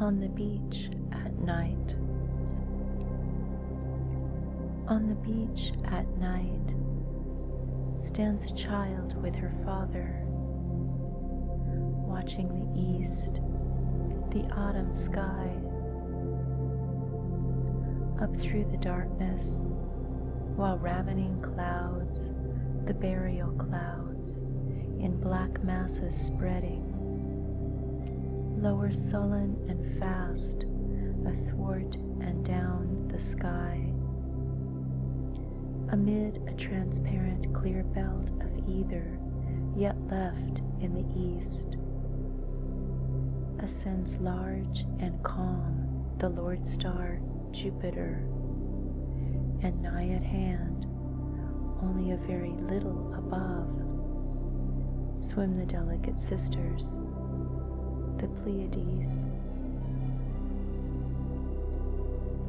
on the beach at night. On the beach at night stands a child with her father, watching the east, the autumn sky. Up through the darkness, while ravening clouds, the burial clouds in black masses spreading, lower sullen and fast athwart and down the sky, amid a transparent clear belt of ether, yet left in the east. ascends large and calm, the Lord star Jupiter, and nigh at hand only a very little above. Swim the delicate sisters, the Pleiades.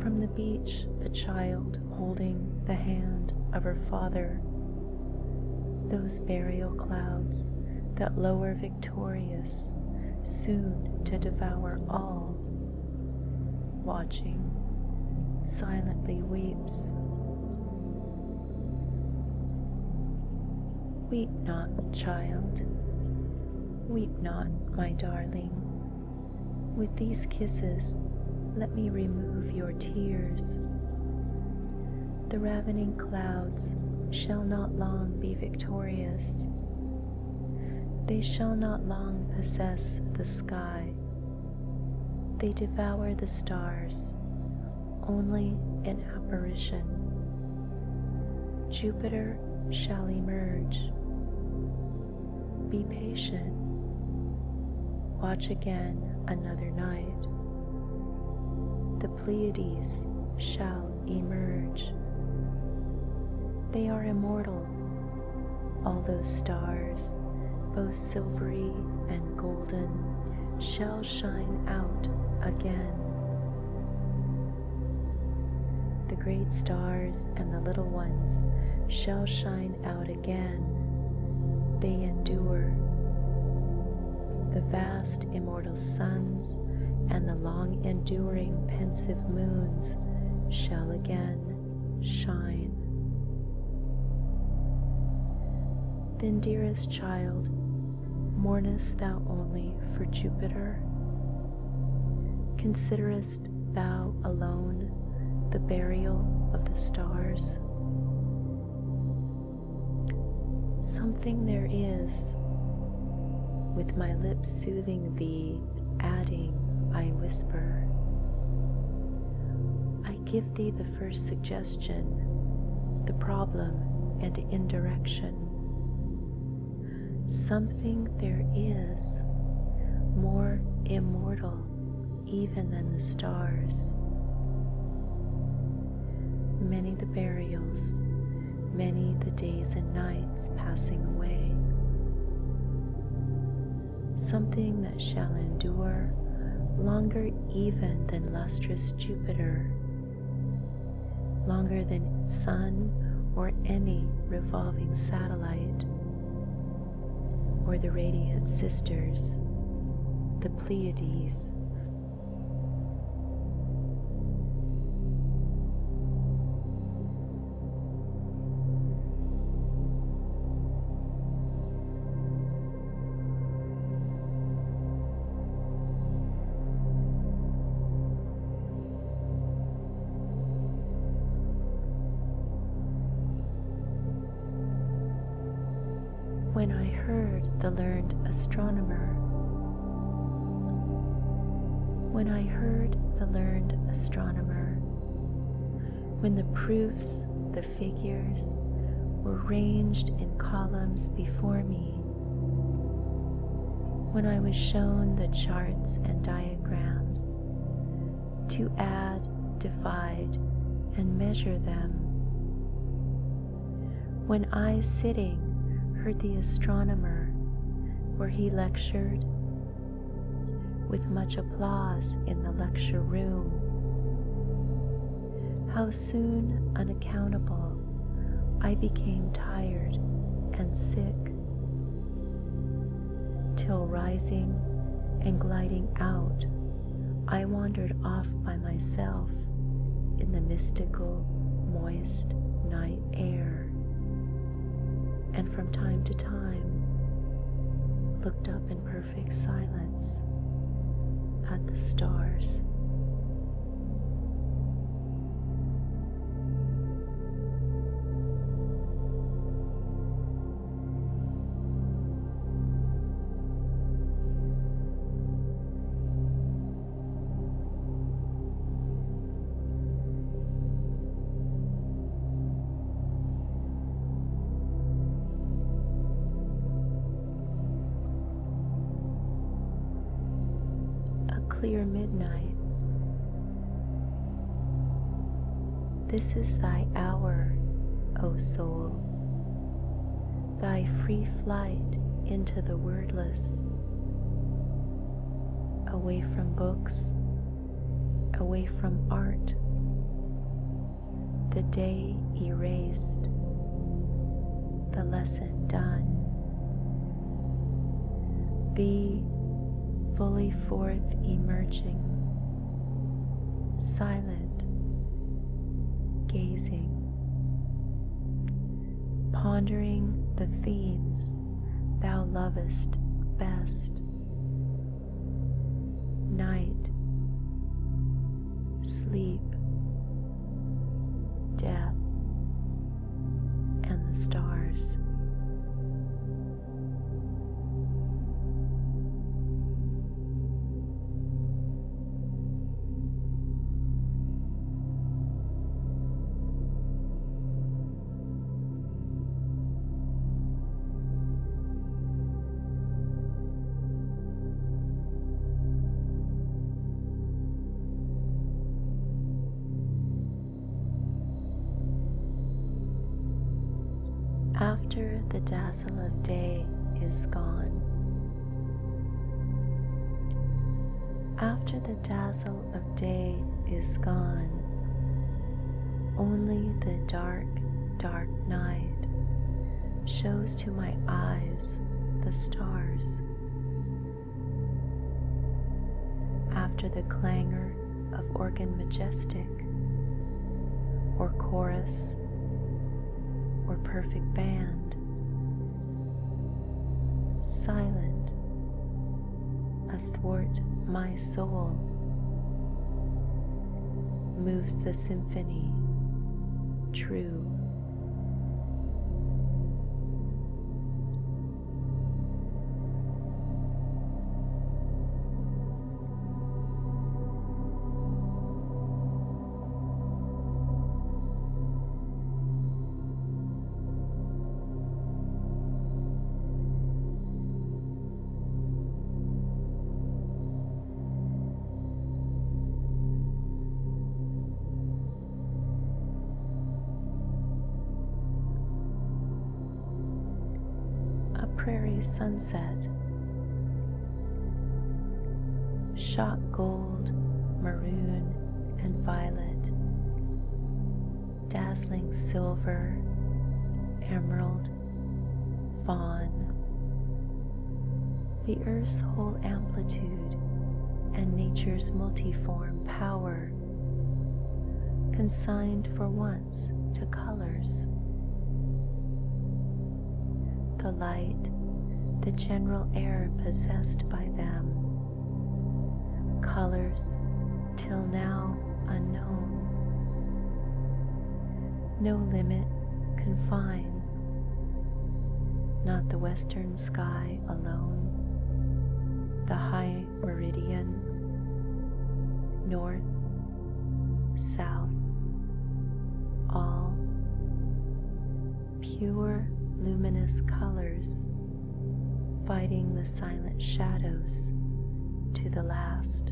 From the beach, the child holding the hand of her father, those burial clouds that lower victorious, soon to devour all watching, silently weeps. Weep not, child. Weep not, my darling. With these kisses, let me remove your tears. The ravening clouds shall not long be victorious. They shall not long possess the sky. They devour the stars, only an apparition. Jupiter shall emerge. Be patient. Watch again another night. The Pleiades shall emerge. They are immortal all those stars, both silvery and golden, shall shine out again. The great stars and the little ones shall shine out again. They endure. The vast immortal suns and the long enduring pensive moons shall again shine. Then, dearest child, mournest thou only for Jupiter? Considerest thou alone the burial of the stars? Something there is, with my lips soothing thee adding, I whisper. I give thee the first suggestion, the problem and indirection. Something there is more immortal even than the stars. Many the burials, many the days and nights passing away something that shall endure longer even than lustrous Jupiter, longer than sun or any revolving satellite, or the radiant sisters, the Pleiades when I heard the learned astronomer. When I heard the learned astronomer, when the proofs, the figures, were ranged in columns before me. When I was shown the charts and diagrams, to add, divide, and measure them. When I, sitting, heard the astronomer, where he lectured with much applause in the lecture room. How soon unaccountable I became tired and sick, till rising and gliding out, I wandered off by myself in the mystical, moist night air and from time to time looked up in perfect silence at the stars. A clear midnight. This is thy hour, O soul, thy free flight into the wordless, away from books away from art. The day erased, the lesson done. Be fully forth emerging, silent, gazing, pondering the themes thou lovest best night, sleep, death, and the stars. After the dazzle of day is gone, after the dazzle of day is gone, only the dark dark night shows to my eyes the stars. After the clangor of organ majestic, or chorus, or perfect band, silent athwart my my soul moves the symphony true. A prairie sunset, shot gold, maroon, and violet, dazzling silver, emerald, fawn, the earth's whole amplitude and nature's multiform power, consigned for once to colors. The light, the general air possessed by them, colors till now unknown. No limit can not the western sky alone, the high meridian, north, south, all pure luminous colors fighting the silent shadows to the last.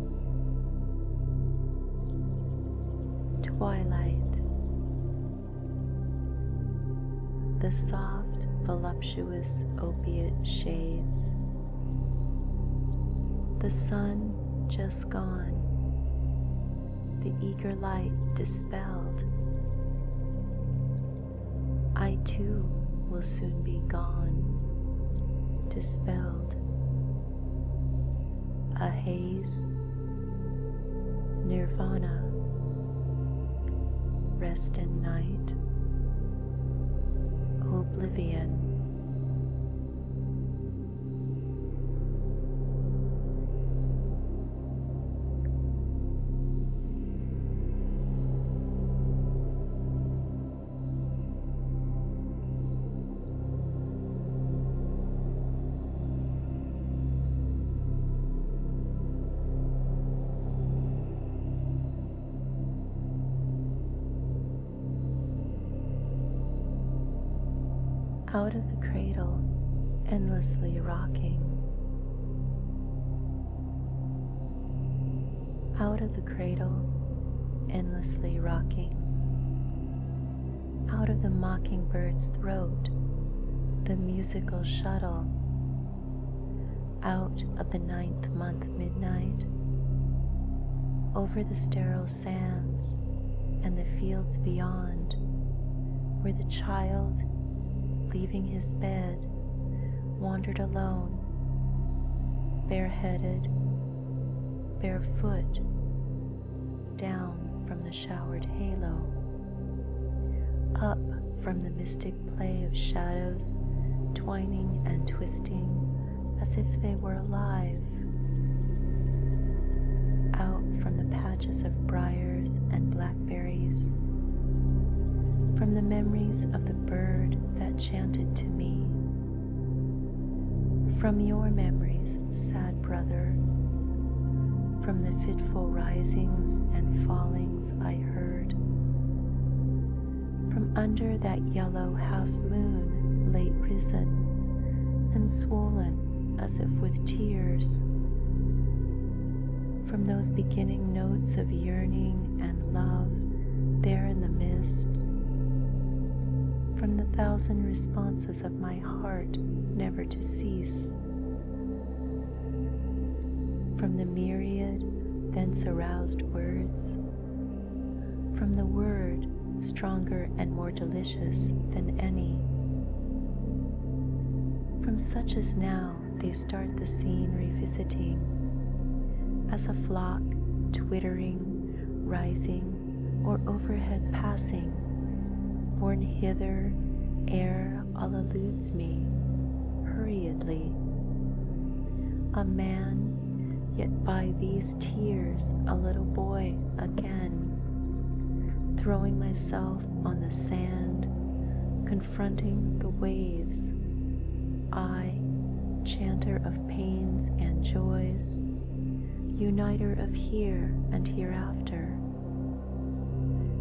twilight, the soft, voluptuous opiate shades, the sun just gone, the eager light dispelled. I too will soon be gone, dispelled a haze, nirvana, rest in night, oblivion out of the cradle, endlessly rocking. Out of the cradle, endlessly rocking. Out of the mockingbird's throat, the musical shuttle. Out of the ninth month midnight, over the sterile sands and the fields beyond, where the child, leaving his bed, wandered alone, bareheaded barefoot down from the showered halo, up from the mystic play of shadows twining and twisting as if they were alive, out from the patches of briars and blackberries, from the memories of the bird that chanted to me, from your memories, sad brother, from the fitful risings and fallings I heard, from under that yellow half moon late risen and swollen as if with tears, from those beginning notes of yearning and love there in the mist, from the thousand responses of my heart never to cease. From the myriad thence aroused words, from the word stronger and more delicious than any. From such as now they start the scene revisiting, as a flock twittering rising or overhead passing. Borne hither, ere all eludes me, hurriedly. A man, yet by these tears, a little boy again. Throwing myself on the sand, confronting the waves. I, chanter of pains and joys uniter of here and hereafter,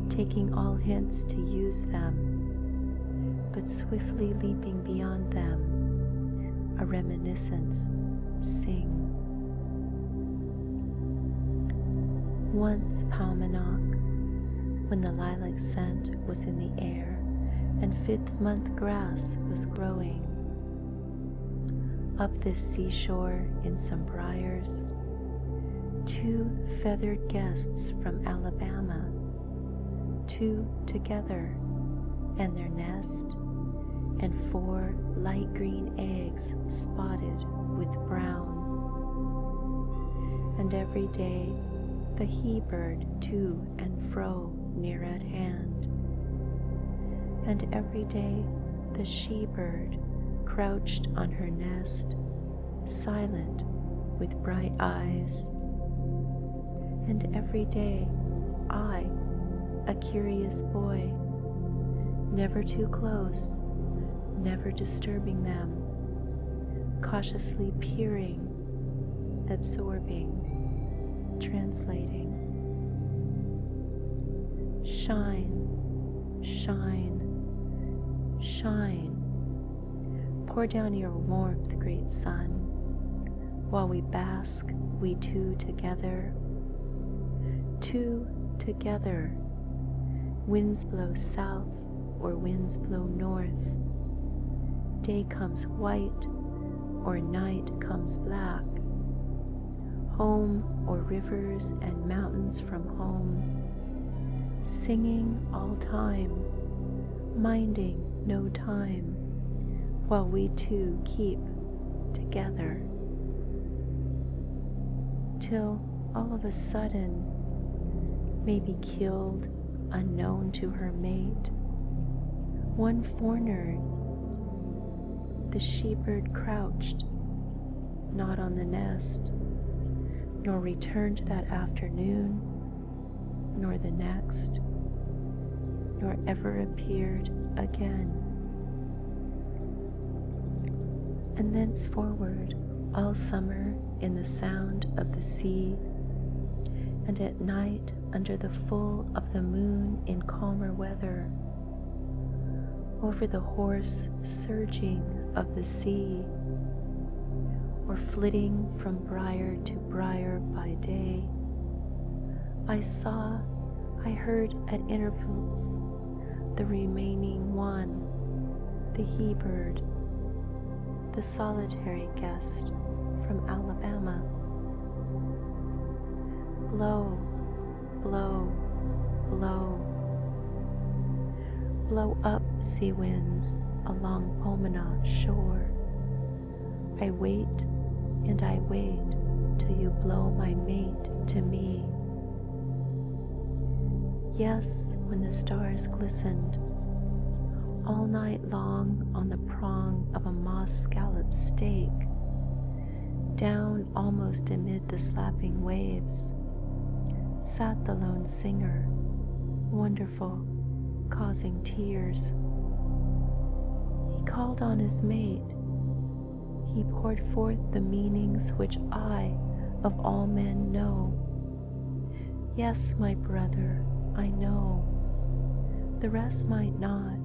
taking all hints to use them, but swiftly leaping beyond them, a reminiscence, sing. Once Paumanok, when the lilac scent was in the air and fifth month grass was growing, up this seashore in some briars, two feathered guests from Alabama, two together, and their nest, and four light green eggs spotted with brown. And every day the he bird to and fro near at hand. And every day the she bird crouched on her nest, silent with bright eyes. And every day I, a curious boy, never too close, never disturbing them, cautiously peering, absorbing, translating shine, shine, shine, Pour down your warmth, great sun, while we bask, we two together, two together. Winds blow south or winds blow north. Day comes white or night comes black home or rivers and mountains from home, singing all time, minding no time, while we two keep together. Till all of a sudden, maybe killed, unknown to her mate, one forenoon the she-bird crouched, not on the nest, nor returned that afternoon, nor the next, nor ever appeared again. And thenceforward, all summer in the sound of the sea, and at night under the full of the moon in calmer weather, over the hoarse surging of the sea, or flitting from brier to brier by day, I saw, I heard at intervals, the remaining one, the he bird, the solitary guest from Alabama Blow, blow, blow. Blow up sea winds along Pomona shore. I wait and I wait till you blow my mate to me. Yes, when the stars glistened, all night long on the prong of a moss scallop stake, down almost amid the slapping waves, sat the lone singer, wonderful, causing tears. He called on his mate. He poured forth the meanings which I, of all men, know. Yes, my brother, I know. The rest might not,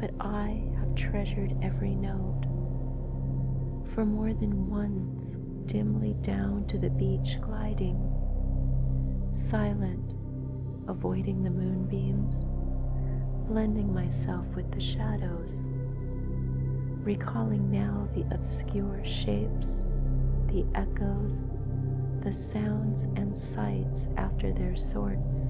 but I have treasured every note. For more than once, dimly down to the beach gliding, silent, avoiding the moonbeams, blending myself with the shadows, recalling now the obscure shapes, the echoes, the sounds and sights after their sorts.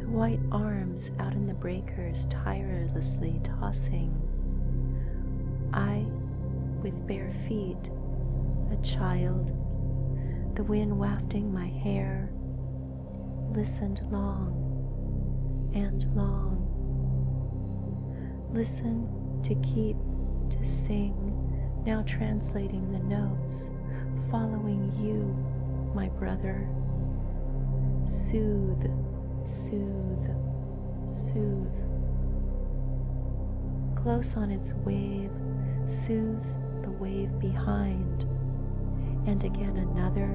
The white arms out in the breakers tirelessly tossing. I, with bare feet, a child, the wind wafting my hair, listened long and long. listened to keep to sing, now translating the notes following you, my brother. Soothe, soothe, soothe. Close on its wave, soothes the wave behind, and again another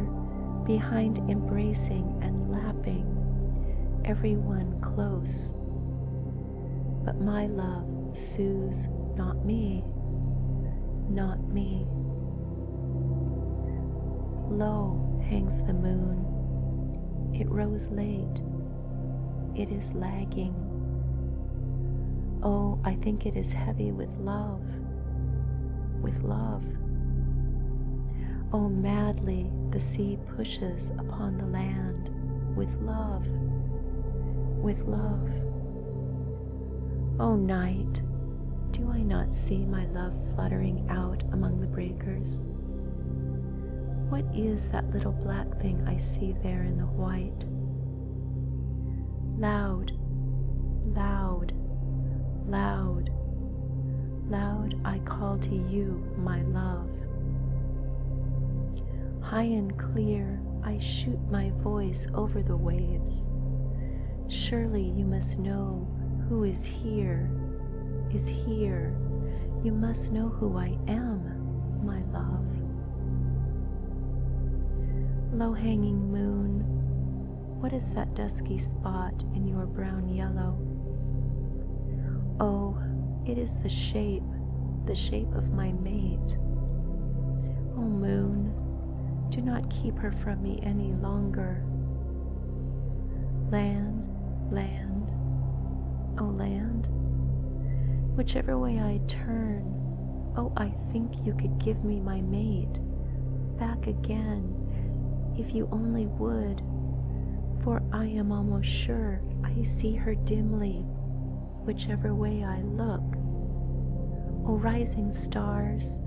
behind embracing and lapping every one close. But my love soothes not me, not me. Lo, hangs the moon, it rose late, it is lagging. Oh, I think it is heavy with love, with love. Oh, madly the sea pushes upon the land with love, with love. O oh, night, do I not see my love fluttering out among the breakers? What is that little black thing I see there in the white? Loud, loud, loud, loud I call to you, my love. High and clear, I shoot my voice over the waves. Surely you must know who is here, is here. You must know who I am, my love. Low hanging moon, what is that dusky spot in your brown yellow? Oh, it is the shape, the shape of my mate. Oh, moon, do not keep her from me any longer. Land, land, oh land, whichever way I turn, oh, I think you could give me my mate back again if you only would, for I am almost sure I see her dimly whichever way I look. O oh, rising stars,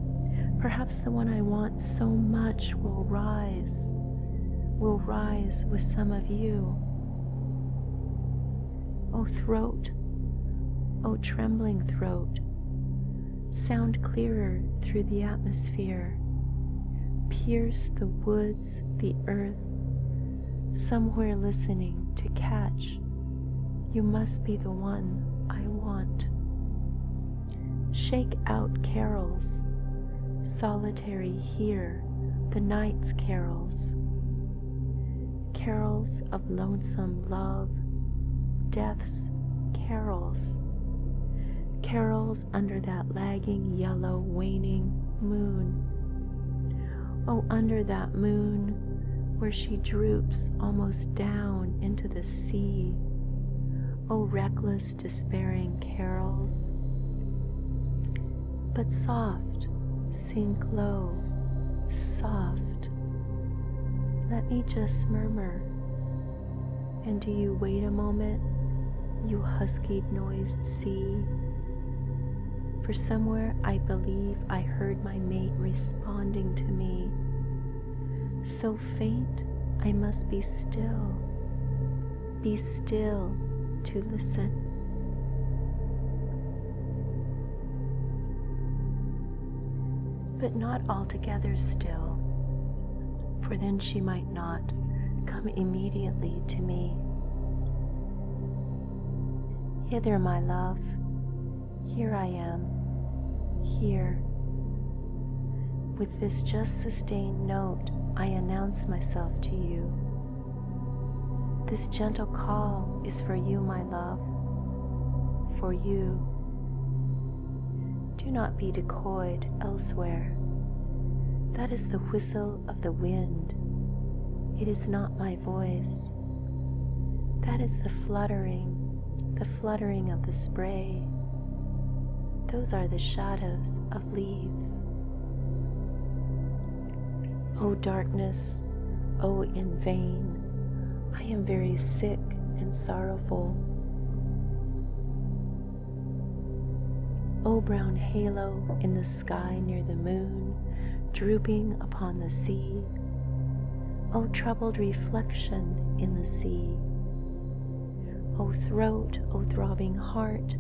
perhaps the one I want so much will rise, will rise with some of you. O oh, throat, O oh, trembling throat, sound clearer through the atmosphere. Pierce the woods, the earth, somewhere listening to catch you must be the one I want. Shake out carols, solitary here, the night's carols. Carols of lonesome love, death's carols. Carols under that lagging yellow waning moon. Oh, under that moon, where she droops almost down into the sea. Oh, reckless, despairing carols. But soft, sink low, soft. Let me just murmur. And do you wait a moment, you husky noised sea? For somewhere I believe I heard my mate responding to me. So faint, I must be still, be still to listen. But not altogether still, for then she might not come immediately to me. Hither, my love, here I am, here. With this just sustained note, I announce myself to you. This gentle call is for you, my love, for you. Do not be decoyed elsewhere. That is the whistle of the wind. It is not my voice. That is the fluttering, the fluttering of the spray. Those are the shadows of leaves. O darkness, O in vain, I am very sick and sorrowful. O brown halo in the sky near the moon, drooping upon the sea. O troubled reflection in the sea, O throat, O throbbing heart,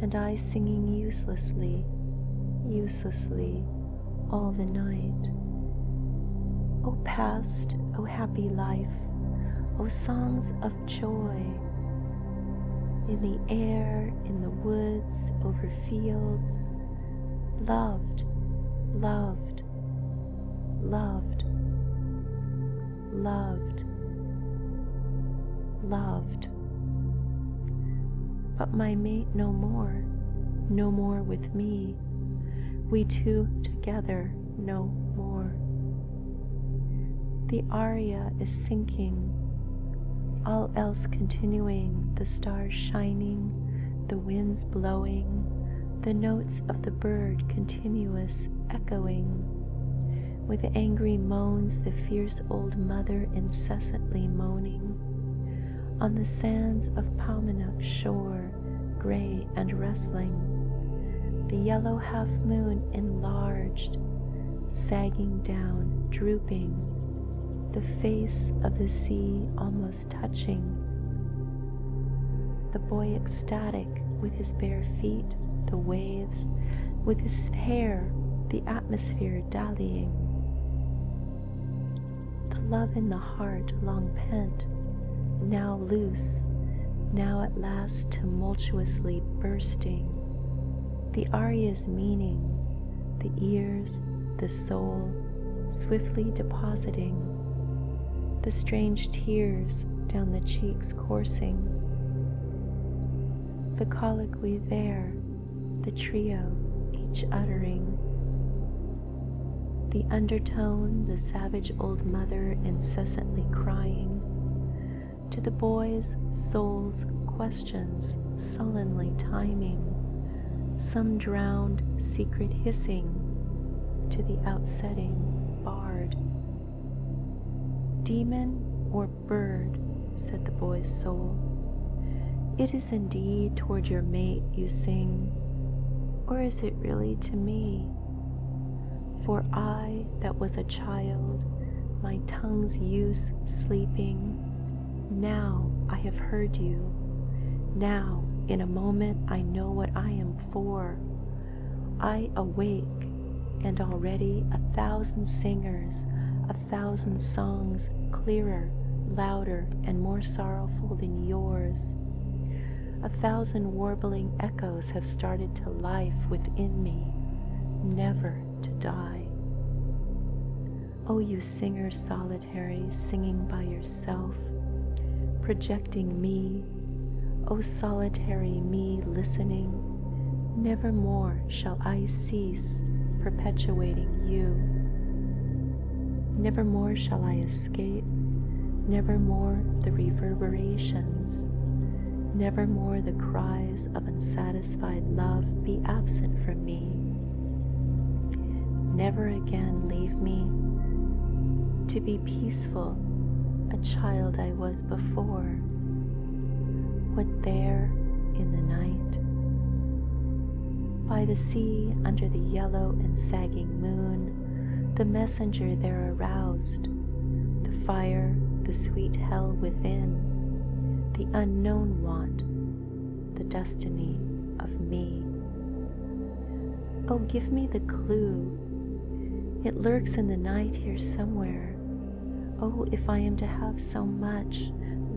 and I singing uselessly, uselessly, all the night. O past, O happy life, O songs of joy, in the air, in the woods, over fields, loved, loved, loved, loved, loved. But my mate no more, no more with me, we two together no more. The aria is sinking, all else continuing, the stars shining, the winds blowing, the notes of the bird continuous echoing. With angry moans, the fierce old mother incessantly moaning. On the sands of Palmanuk's shore, gray and rustling, the yellow half moon enlarged, sagging down, drooping, the face of the sea almost touching. The boy ecstatic with his bare feet, the waves, with his hair, the atmosphere dallying. The love in the heart long pent, now loose, now at last tumultuously bursting. The aria's meaning, the ears, the soul swiftly depositing, the strange tears down the cheeks coursing, the colloquy there, the trio each uttering, the undertone, the savage old mother incessantly crying, to the boy's soul's questions sullenly timing some drowned secret hissing to the outsetting bard. Demon or bird, said the boy's soul, it is indeed toward your mate you sing, or is it really to me? For I that was a child, my tongue's use sleeping, now I have heard you. Now, in a moment, I know what I am for. I awake, and already a thousand singers, a thousand songs clearer, louder, and more sorrowful than yours. A thousand warbling echoes have started to life within me, never to die. O oh, you singers solitary, solitary, singing by yourself, projecting me, O oh solitary me listening, nevermore shall I cease perpetuating you. Nevermore shall I escape, nevermore the reverberations, nevermore the cries of unsatisfied love be absent from me Never again leave me to be peaceful, a child I was before. What there in the night? By the sea, under the yellow and sagging moon, the messenger there aroused, the fire, the sweet hell within, the unknown want the destiny of me. Oh, give me the clue. It lurks in the night here somewhere. Oh, if I am to have so much,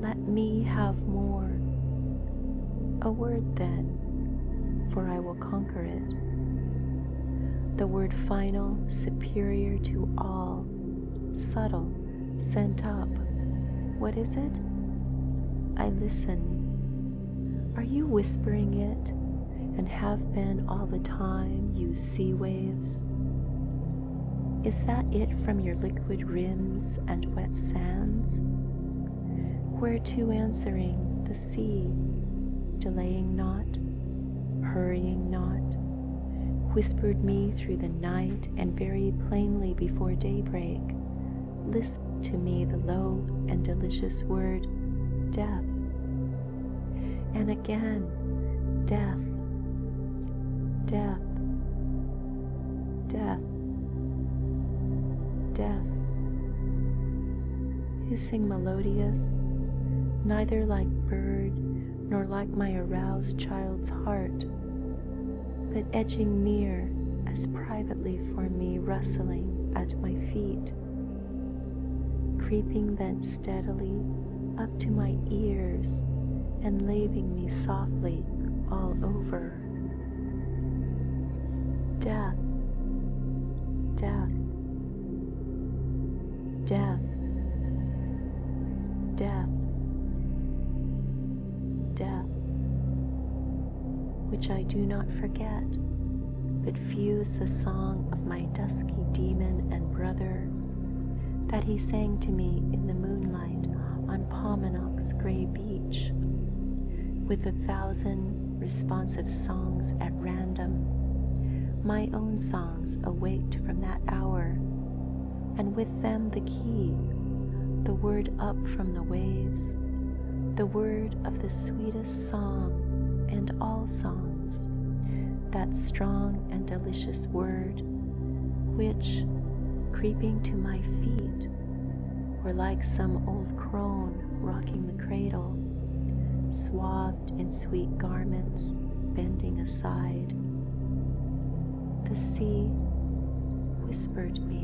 let me have more. A word then, for I will conquer it. The word final, superior to all, subtle, sent up, what is it? I listen. Are you whispering it and have been all the time, you sea waves? Is that it from your liquid rims and wet sands? Where to answering the sea, delaying not, hurrying not, whispered me through the night and very plainly before daybreak lisp to me the low and delicious word death. And again, death, death, death, death. Hissing melodious, neither like bird nor like my aroused child's heart, but edging near as privately for me, rustling at my feet, creeping then steadily up to my ears and laving me softly all over. Death, death, death, death, death which I do not forget, but fuse the song of my dusky demon and brother that he sang to me in the moonlight on Palmanock's gray beach, with a thousand responsive songs at random, my own songs await from that hour, and with them the key, the word up from the waves, the word of the sweetest song and all songs, that strong and delicious word, which, creeping to my feet, were like some old crone rocking the cradle, swathed in sweet garments, bending aside. The sea whispered whispered me.